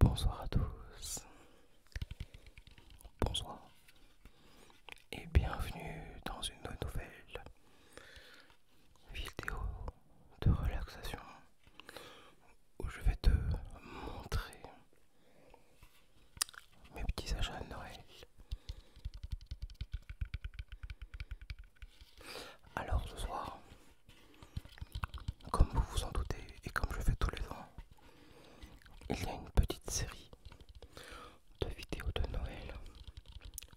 Bonsoir à tous. Bonsoir. Et bienvenue dans une nouvelle vidéo de relaxation où je vais te montrer mes petits achats de Noël. Alors ce soir, comme vous vous en doutez et comme je fais tous les ans, il y a une petite série de vidéos de Noël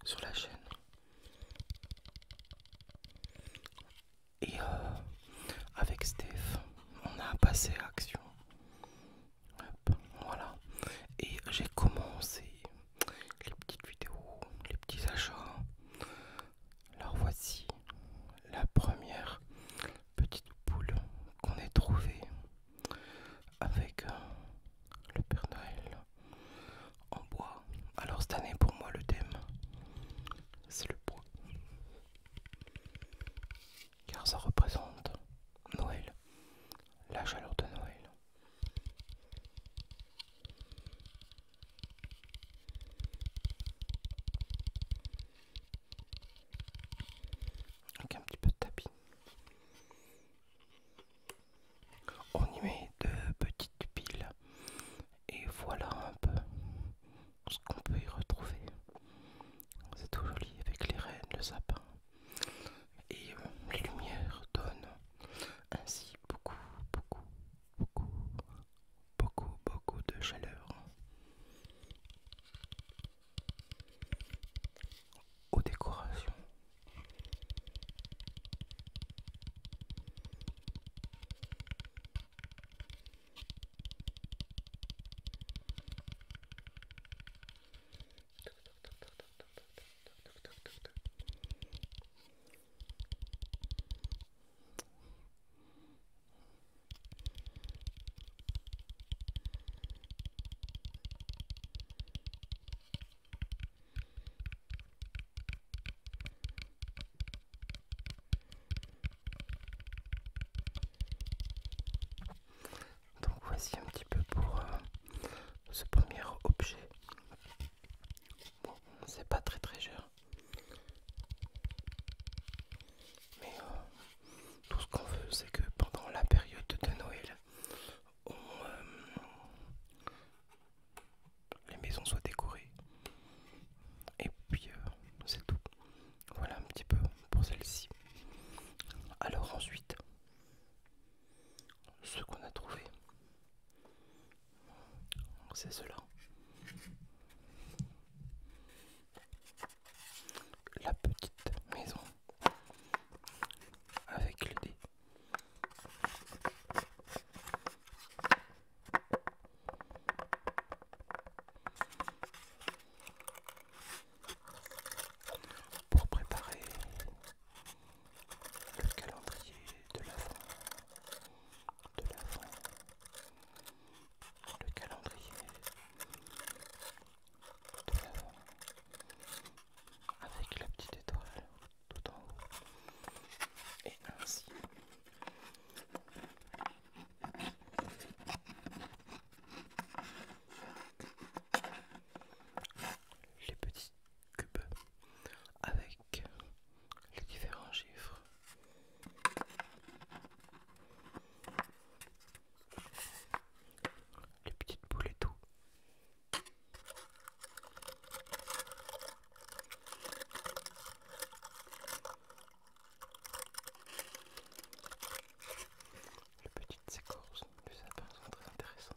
sur la chaîne et euh, avec Steph, on a passé à action. voilà. Et j'ai commencé les petites vidéos, les petits achats. Alors voici la première petite boule qu'on ait trouvée avec euh, le Père Noël en bois. Alors cette année pour moi le thème c'est le bois. Car ça représente Noël, la chaleur de Noël. Avec un petit peu de tapis. On y met de petites piles et voilà un peu ce qu'on peut y retrouver. C'est tout joli avec les rennes, le sapin et euh, les lumières donnent ainsi beaucoup, beaucoup, beaucoup, beaucoup, beaucoup de chaleur aux décorations. Donc voici un petit peu pour euh, ce premier objet. Bon, c'est pas très très jeune. Mais euh, tout ce qu'on veut, c'est que pendant la période de Noël, euh, les maisons soient décorées. Et puis euh, c'est tout. Voilà un petit peu pour celle-ci. Alors ensuite, ce qu'on a trouvé, c'est cela la petite maison avec le dé. Pour préparer le calendrier de l'avant, de l'avant, le calendrier euh, avec la petite étoile tout en haut et ainsi les petits cubes avec les différents chiffres les petites boules et tout. Les petites écorces de sapin sont très intéressantes.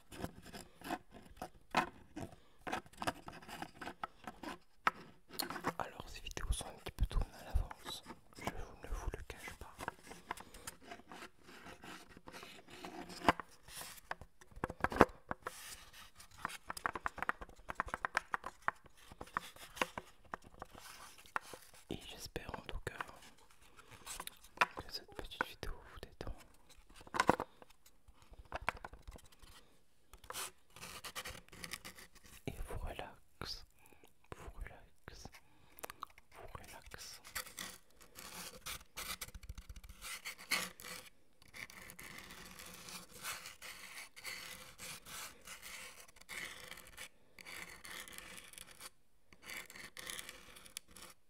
Alors ces vidéos sont un petit peu tournées à l'avance, je ne vous le cache pas. Et j'espère en tout cas que cette petite vidéo vous détend et vous relaxe, vous relaxe, vous relaxe.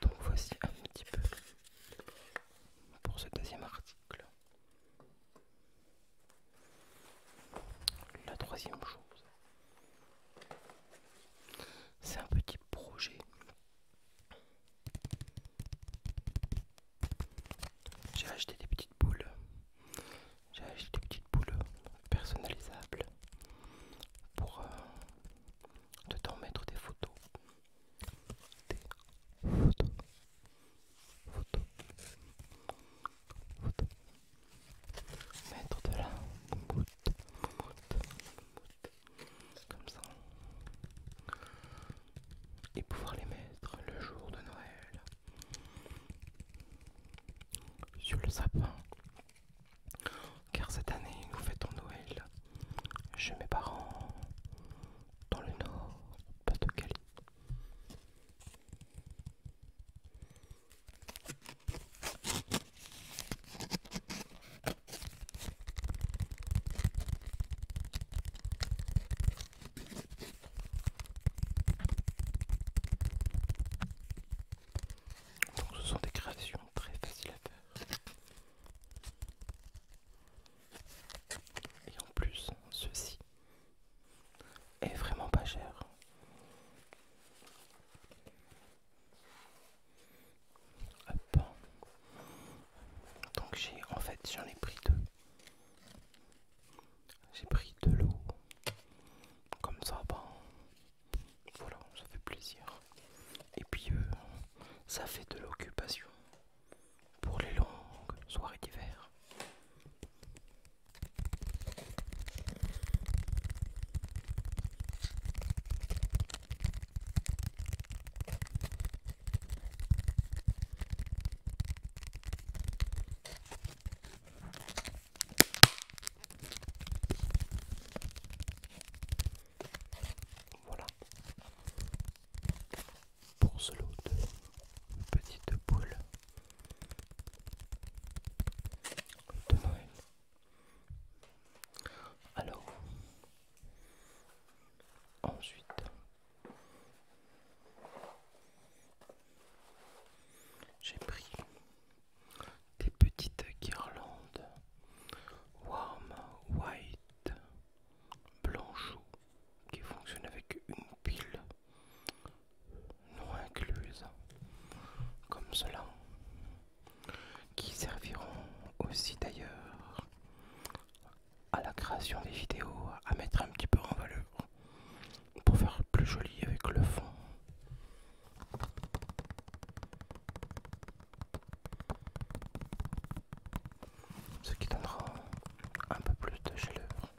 Donc voici un petit peu pour ce deuxième article. La troisième chose, c'est un petit projet. J'ai acheté des petites boules j'ai acheté des petites boules euh, personnalisables pour euh, de temps mettre des photos. Des photos. Photos. Photos. Mettre de la moumoute. Comme ça. Et pouvoir les mettre le jour de Noël sur le sapin. Car cette année, nous fêtons Noël chez mes parents, dans le nord, Pas-de-Calais. Donc ce sont des créations très faciles à faire. Et en plus, ceci est vraiment pas cher. Donc j'ai en fait j'en ai pris deux. J'ai pris de l'eau. Comme ça, bon voilà, ça fait plaisir. Et puis euh, ça fait de l'occupation pour les longues soirées d'hiver. Voilà pour ce lot de petites boules de Noël. Alors, ensuite, j'ai pris des petites guirlandes warm white blanchot qui fonctionnent avec une pile non incluse comme cela qui serviront aussi d'ailleurs à la création des vidéos, à mettre un petit peu en valeur pour faire plus joli avec le fond. Ce qui donnera un peu plus de chaleur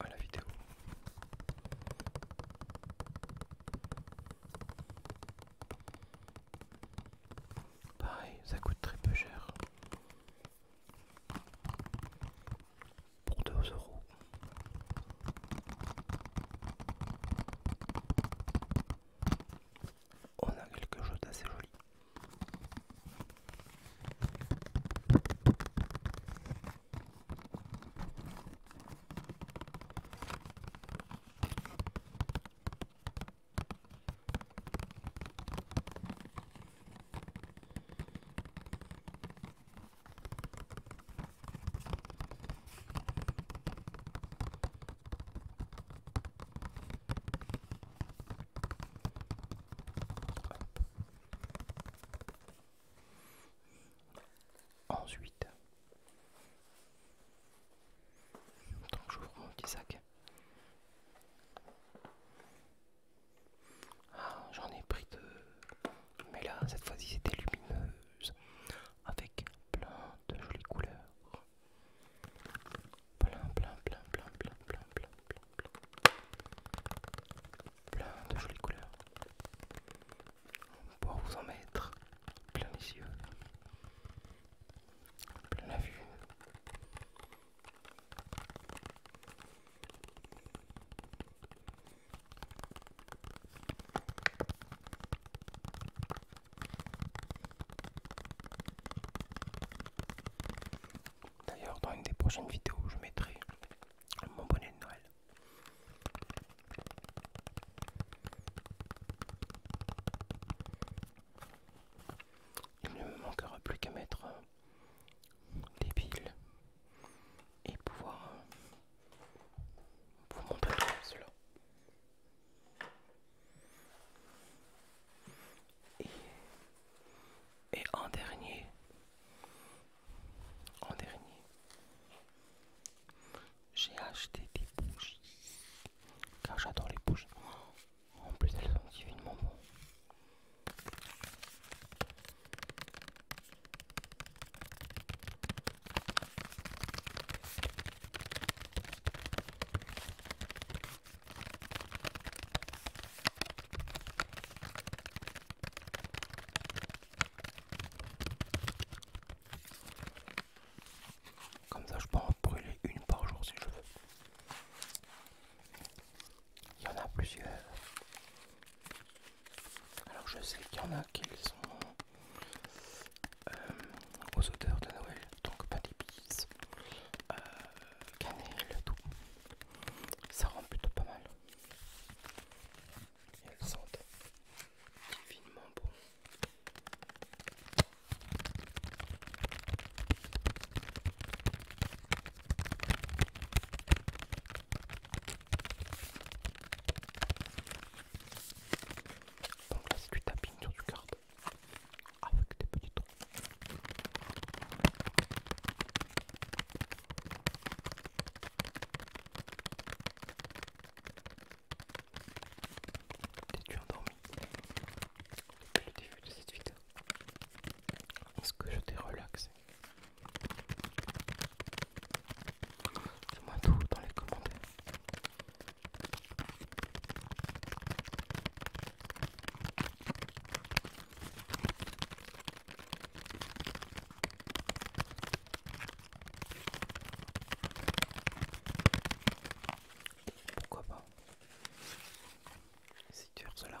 à la vidéo. Pareil, ça coûte très peu cher pour 2 euros. On a quelque chose d'assez joli. Ensuite, donc j'ouvre mon petit sac. Ah, j'en ai pris deux. Mais là, cette fois-ci, c'était lumineuse. Avec plein de jolies couleurs. Plein, plein, plein, plein, plein, plein, plein, plein, plein. Plein de jolies couleurs. Pour vous en mettre plein les yeux. Plein la vue. D'ailleurs, dans une des prochaines vidéos, je mettrai mon bonnet de Noël. Il ne me manquera plus qu'à mettre des piles et pouvoir euh, vous montrer cela. Et, en dernier, en dernier, j'ai acheté des bougies car j'adore les bougies. En plus, elles sont divinement bon. Comme ça, je peux en brûler une par jour si je veux. Il y en a plusieurs. Alors, je sais qu'il y en a qui sont euh, aux odeurs de Noël, donc pas d'épices, euh, cannelle, tout. Ça rend plutôt pas mal. elles sentent divinement bon. Donc là c'est du tapping sur du card avec des petits trous. T'es-tu endormi depuis le début de cette vidéo Est-ce que je t'ai relaxé Dis-moi tout dans les commentaires. Pourquoi pas Si tu cela.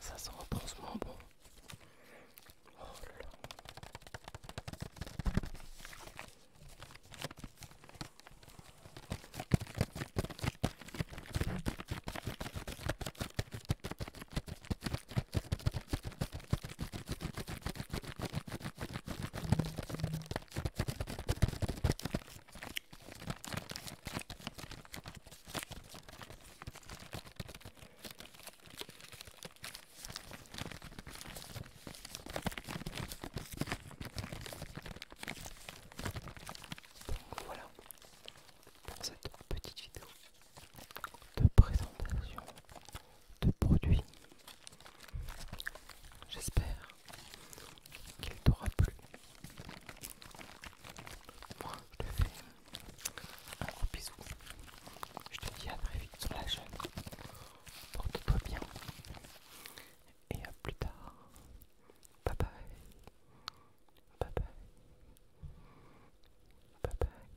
Ça sent franchement bon. Oh là voilà pour cette petite vidéo de présentation de produits. J'espère qu'il t'aura plu. Moi, je te fais un gros bisou. Je te dis à très vite sur la chaîne. Porte-toi bien. Et à plus tard. Bye bye. Bye bye. Bye bye.